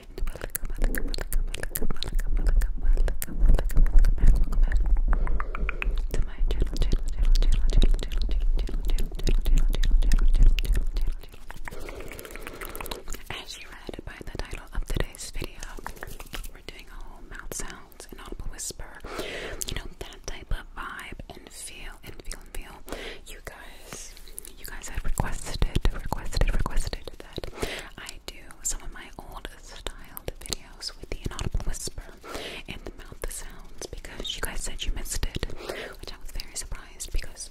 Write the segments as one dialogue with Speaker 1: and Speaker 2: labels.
Speaker 1: As you read by the title of today's video, we're doing a whole mouth sounds and audible whisper. You know that type of vibe and feel and feel and feel. You guys, you guys had requested, requested, requested I do some of my old style videos with the inaudible whisper and the mouth sounds because you guys said you missed it, which I was very surprised because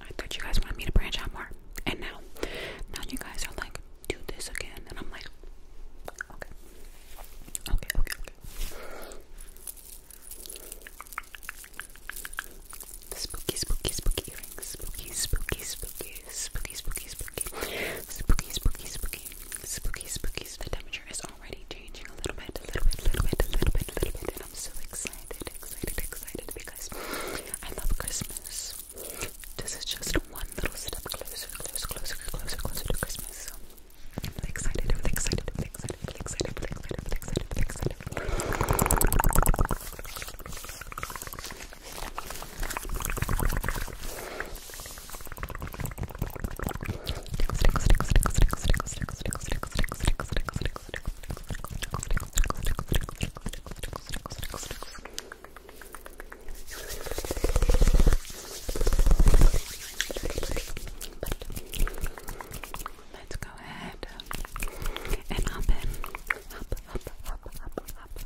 Speaker 1: I thought you guys wanted me to branch out more. And now, now you guys are like, do this again, and I'm like, okay, okay, okay. Spooky, spooky, spooky earrings. Spooky, spooky, spooky, spooky, spooky, spooky, spooky, spooky, spooky, spooky, spooky. The temperature is already changing a little bit, a little bit, a little bit, a little bit, a little bit, and I'm so excited, excited, excited because I love Christmas. This is just one little step closer, closer, closer, closer, closer to Christmas. So I'm really excited, really excited, really excited, really excited, really excited, really excited, really excited. Let's go ahead and up in, up, up, up, up, up,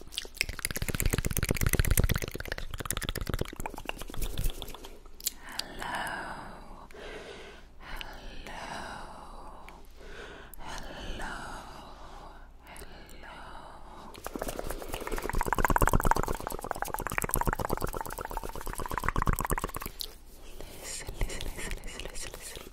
Speaker 1: Hello, hello, hello, hello. Listen, listen, listen, listen, listen,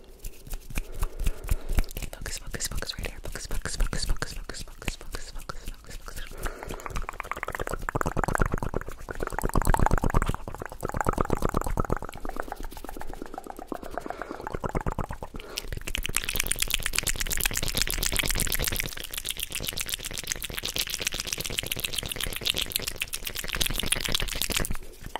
Speaker 1: Okay, focus, focus, focus right here. Focus, focus, focus, focus, focus, focus, focus, focus, focus, focus. Okay,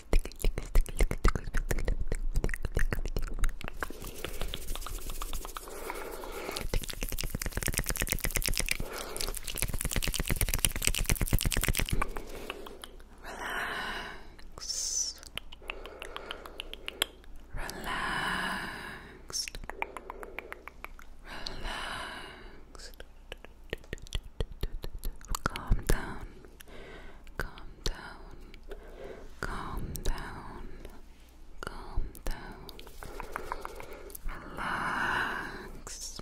Speaker 1: Relax. Relaxed. Relaxed. Calm down calm down, calm down, calm down, relax,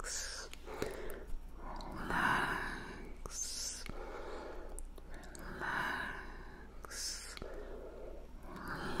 Speaker 1: relax, relax, relax. Relax,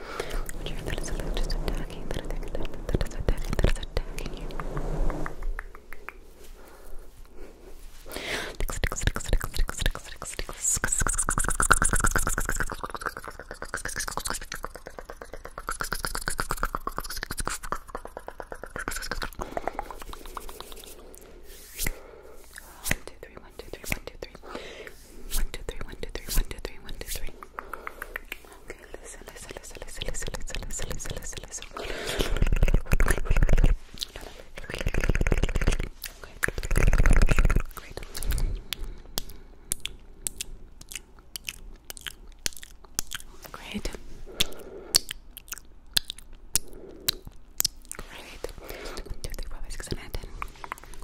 Speaker 1: Would you that is just attacking, that is attacking, that is attacking, that is attacking you? One, two, three, one, two, three, one, two, three. One, two, three, one, two, three, one, two, three, one, two, three. Okay, listen, listen, listen, listen, listen, listen, listen, listen, listen, listen. Okay. Great. Great. Great. 1, 2, 3, 4, 5, 6, 7, 10.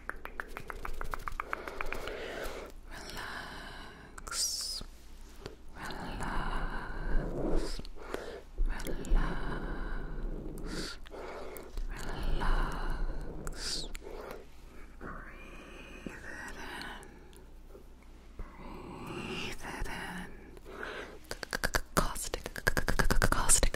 Speaker 1: Relax, relax, relax, relax. Breathe it in, breathe it in. Caustic, caustic,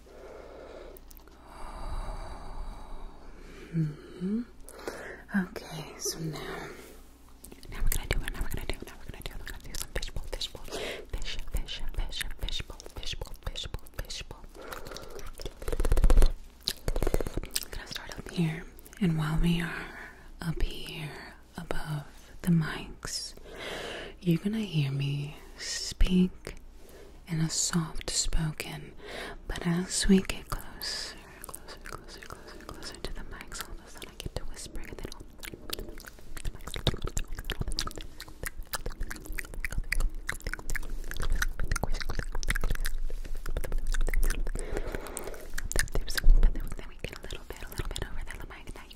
Speaker 1: Mm-hmm. Okay, so now, now we're gonna do Now we're gonna do Now we're gonna do We're gonna do some fishbowl, fishbowl, fish, fish, fish, fishbowl, fishbowl, fishbowl, fishbowl. I'm gonna start up here, and while we are up here above the mics, you're gonna hear me speak and a soft spoken. But as we get closer, closer, closer, closer, closer to the mics, all of a sudden I get to whispering and then then we get a little bit, a little bit over the mic that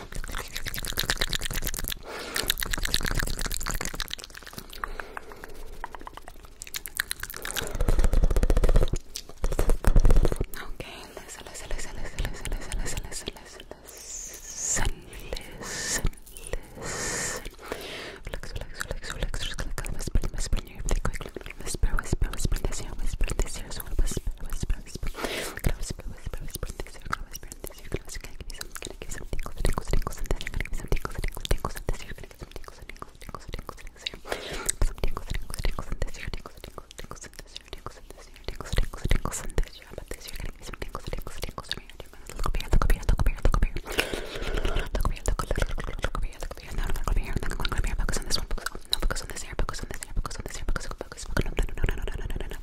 Speaker 1: Okay, listen, listen, listen, listen, listen, listen, listen, listen, listen, listen, listen. Relax, relax, relax, relax, relax, whisper, whisper in your ear quickly. Whisper, whisper, whisper in this ear, whisper in this ear, so whisper, whisper, whisper, whisper, whisper, whisper, whisper in this ear, whisper, experiment this year. Gonna, gonna give you some, gonna give you some tingles, tingles, tingles, and this year. Gonna give you some tingles, tingles, tingles, and this year. Gonna give you some tingles, tingles, tingles, tingles, and this year. Some tingles, tingles, tingles, and this year. Tingles, tingles, tingles, and this year. Tingles, and this year. Tingles, tingles, tingles, and this year. How about this year? Gonna give you some tingles, tingles, tingles, and here. Look up here, look up here, look up here, look up here. Look up here, look up here, look up here, look up here. Now I'm gonna go over here. Now I'm gonna go over here. Focus on this one. Focus on, no, focus on this ear. Focus on this ear. Focus on this ear. Focus on, focus. No, no, no, no, no, no, no, no, no.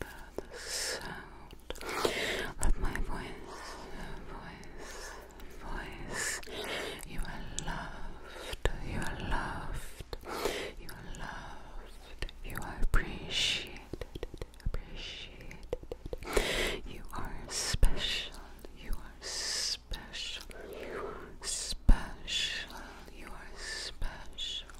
Speaker 1: the sound of my voice, voice, voice. You are loved, you are loved, you are loved, you are appreciated, appreciated. You are special, you are special, you are special, you are special.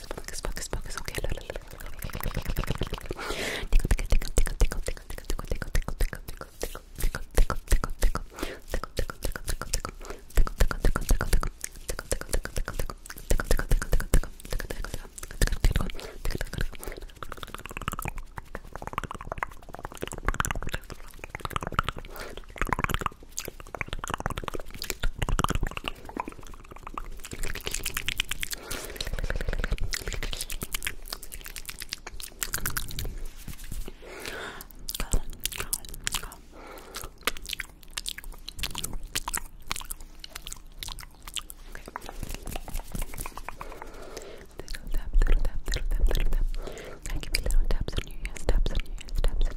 Speaker 1: focus, focus, focus, focus. Okay, look, look, look, look, look, Thank you for little taps on your ears, taps on your ears, taps on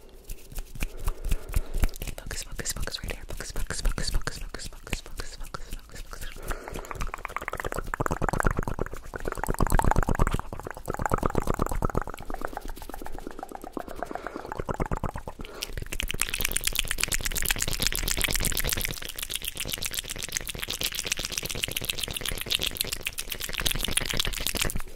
Speaker 1: Okay, focus, focus, focus right here. Focus, focus, focus, focus, focus, focus, focus, focus, focus, focus. Okay,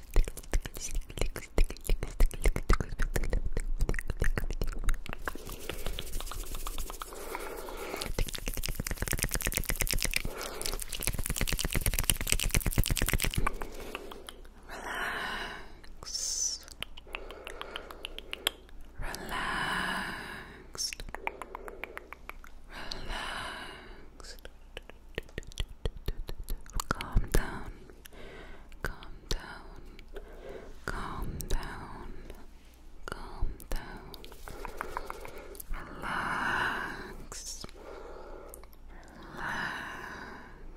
Speaker 1: Relax. Relaxed. Relaxed. Relaxed. Calm down. Calm down. Calm down. Calm down. Relax.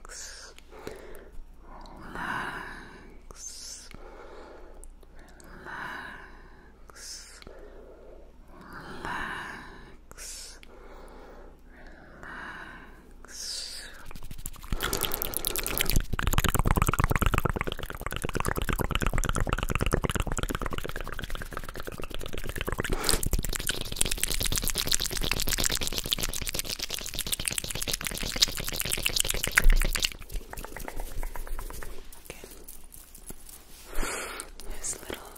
Speaker 1: Relax. Relax. Relax. Relax relax. Okay. This little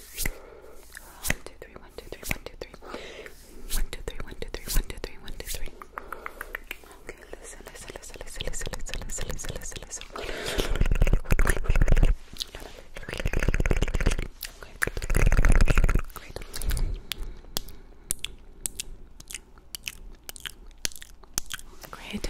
Speaker 1: One, two, three, one, two, three, one, two, three. One, two, three, one, two, three, one, two, three, one, two, three. Okay, listen, listen, listen, listen, listen, listen, listen, listen, listen, listen. Okay. Great. Great.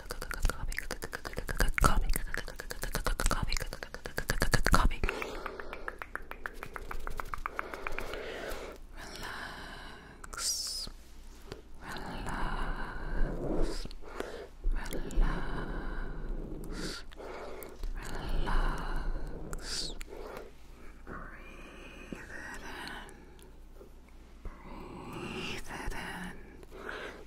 Speaker 1: coffee, relax, relax, relax, relax. Breathe it in. Breathe it in.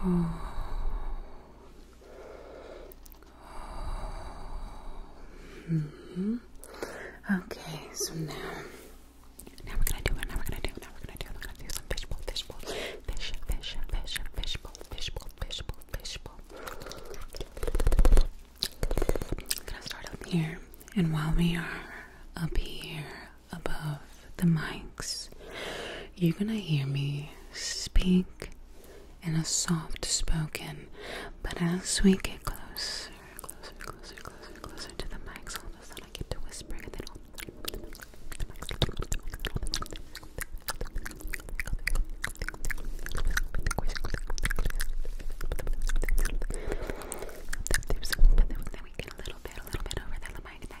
Speaker 1: Hmm. Okay, so now, now we're gonna do it. Now we're gonna do it. Now we're gonna do it. We're gonna do some fishbowl, fishbowl, fish, fish, fish, fishbowl, fishbowl, fishbowl, fishbowl. I'm gonna start up here, and while we are up here, above the mics, you're gonna hear me speak in a soft spoken, but as we get closer, closer, closer, closer, closer to the mics, all of a sudden I get to whispering and then then we get a little bit, a little bit over the mic,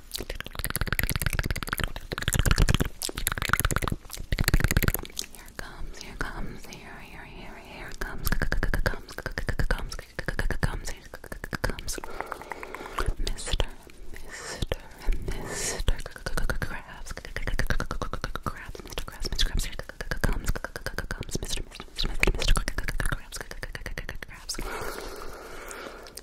Speaker 1: here comes, here comes, here, here, here, here comes, comes, comes, comes, comes, Mister, Mister, Mister Krabs, Krabs, Mister Krabs, Mister Krabs, here comes, comes, Mister, Mister, Mister Krabs, Krabs,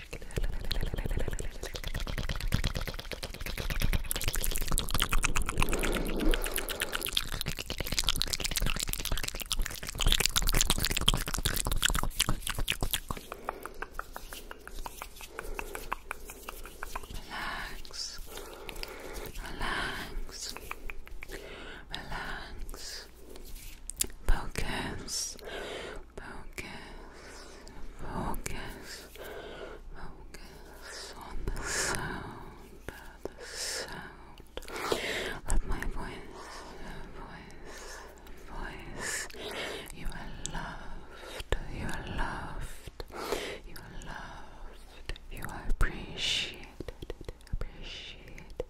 Speaker 1: Relax. Relax. Relax. Focus. Focus, focus, focus on the sound, the sound of my voice, voice, voice. You are loved, you are loved, you are loved, you are appreciated, appreciated.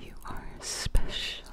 Speaker 1: You are special,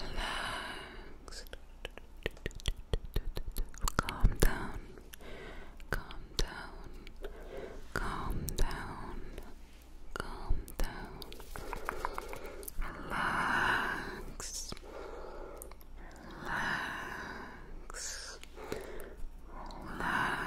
Speaker 1: relaxed. Calm down, calm down, calm down, calm down. Relax, relax, relax, relax.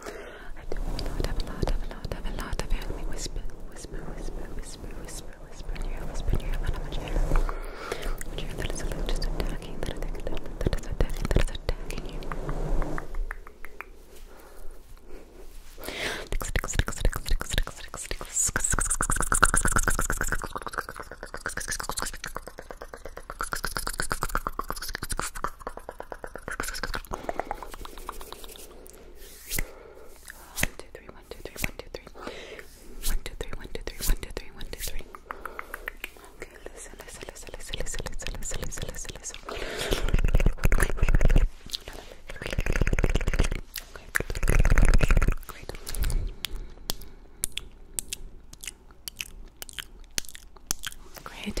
Speaker 1: I do a lot, have a lot, have a lot, have a lot of hair. Let me whisper, whisper, whisper, whisper, whisper, whisper in your ear, whisper in your ear, how much hair? How much hair that is just attacking, that is attacking, that is attacking, that is attacking you two, three, one, two, three, one, two, three. One, two, three, one, two, three, one, two, three, one, two, three. Okay, listen, listen, listen, listen, listen, listen, listen, listen, listen, listen. Okay. Great. Great.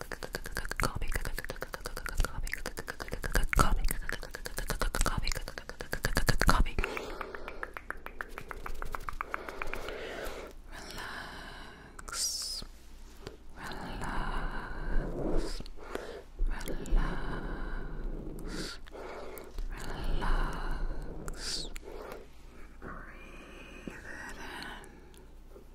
Speaker 1: coffee, coffee, relax, relax, relax, relax. Breathe it in.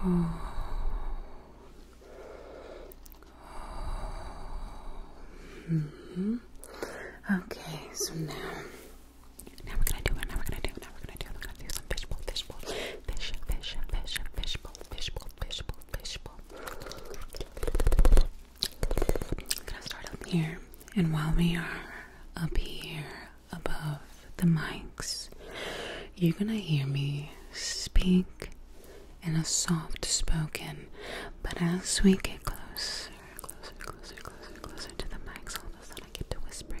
Speaker 1: Mm-hmm. Okay, so now, now we're gonna do it. Now we're gonna do it. Now we're gonna do it. We're gonna do some fishbowl, fishbowl, fish, fish, fish, fishbowl, fishbowl, fishbowl, fishbowl. I'm gonna start up here, and while we are up here above the mics, you're gonna hear me speak in a soft spoken, but as we get closer, closer, closer, closer, closer to the mics, all of a sudden I get to whispering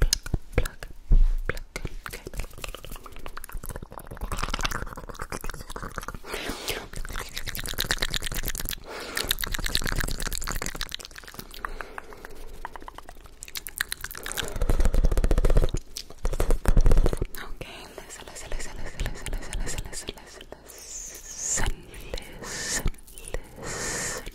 Speaker 1: pluck, pluck, pluck. Okay. Okay, listen, listen, listen, listen, listen, listen, listen, listen, listen, listen, listen, listen, listen, listen,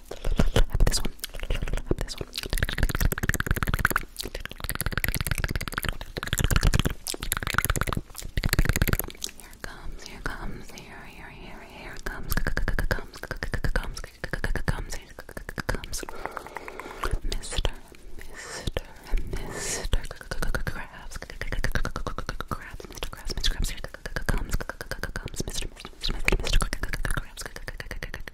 Speaker 1: up this one. Up this one. Here comes, here comes, here, here, here, here comes, comes, comes, comes, comes, Mister, Mister, Mister Krabs, Krabs, Mister Krabs, Mister Krabs, here comes, comes, Mister, Mister, Mister Krabs,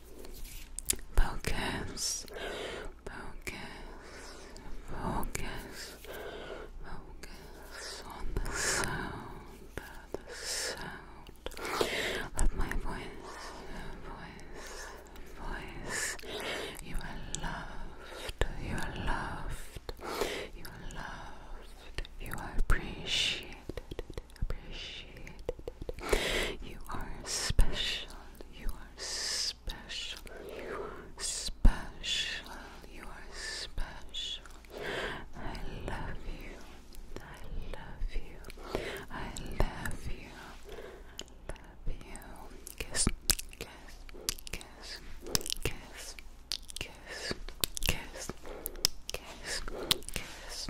Speaker 1: Focus, focus, focus, focus on the sound, the sound of my voice, voice, voice. You are loved, you are loved, you are loved, you are appreciated, appreciated appreciated. You are special. You are special. You are special. You are special. I love you. I love you. I love you. I love you. Kiss, kiss, kiss, kiss, kiss, kiss, kiss, kiss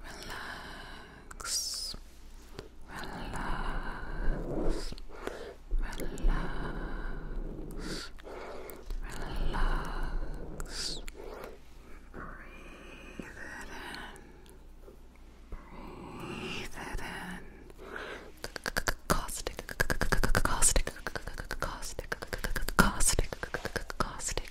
Speaker 1: relax, relax, relax, relax. Breathe it in, breathe it in. Caustic, caustic, caustic, caustic, caustic.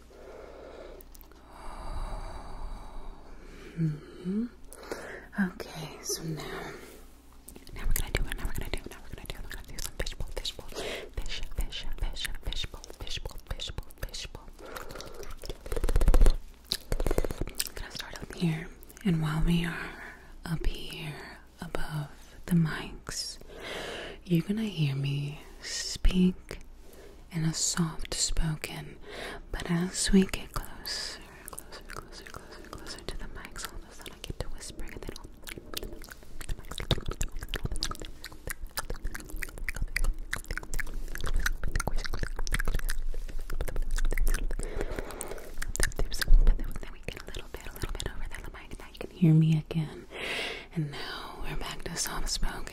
Speaker 1: Mm-hmm. Okay, so now, now we're gonna do Now we're gonna do Now we're gonna do We're gonna do some fishbowl, fishbowl, fish, fish, fish, fishbowl, fishbowl, fishbowl, fishbowl. gonna start up here, and while we are up here above the mics, you're gonna hear me speak and a soft spoken. But as we get closer, closer, closer, closer, closer to the mics, all of a sudden I get to whispering and then we get a little bit, a little bit over there, the mic, now you can hear me again. And now we're back to soft spoken.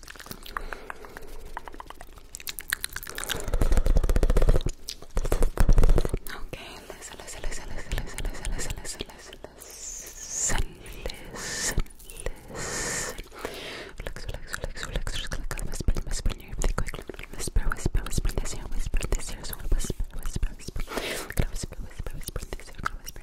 Speaker 1: Okay, listen, listen, listen, listen, listen, listen, listen, listen, listen, listen, listen. Relax, relax, relax, relax, just click on whisper, whisper in your everything quickly. Whisper, whisper, whisper in this ear, whisper in this ear, so whisper, whisper, whisper. Whisper, whisper, whisper in this ear, whisper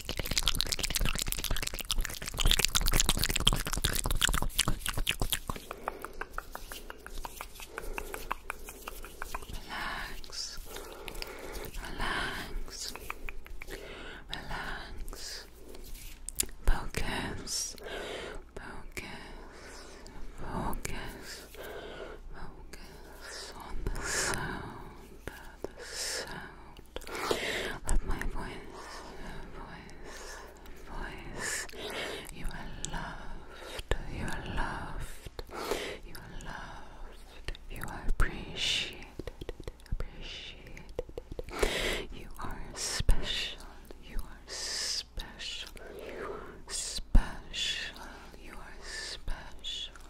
Speaker 1: Relax. Relax. Relax. Focus. Focus. Focus. Focus on the sound. The sound. Let my voice, voice, voice. You are loved. You are loved. You are loved. You are appreciated. Appreciated. You are special. You are special. You are special. You are special.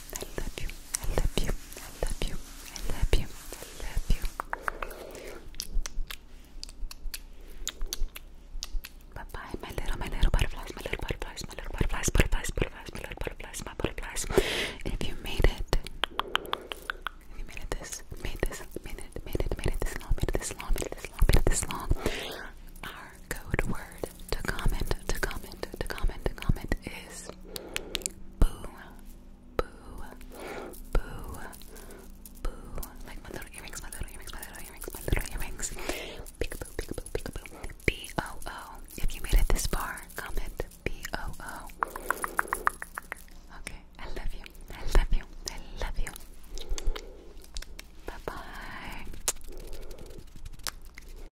Speaker 1: I love you. I love you. I love you. I love you. I love you. Bye bye, my little, my little butterflies, my little butterflies, my little butterflies, butterflies, butterflies, my little butterflies, my butterflies. If you made it, if you made it this, made this, made it, made it, made it this long, made it this long, made it this long, made it this long. Our code word to comment, to comment, to comment, to comment is boo, boo, boo, boo. Like my little earrings, my little earrings, my little earrings, my little earrings. Peekaboo, peekaboo, peekaboo. B O O. If you made it this far, comment B O O. Okay, I love you. I love you. I love you. Bye bye.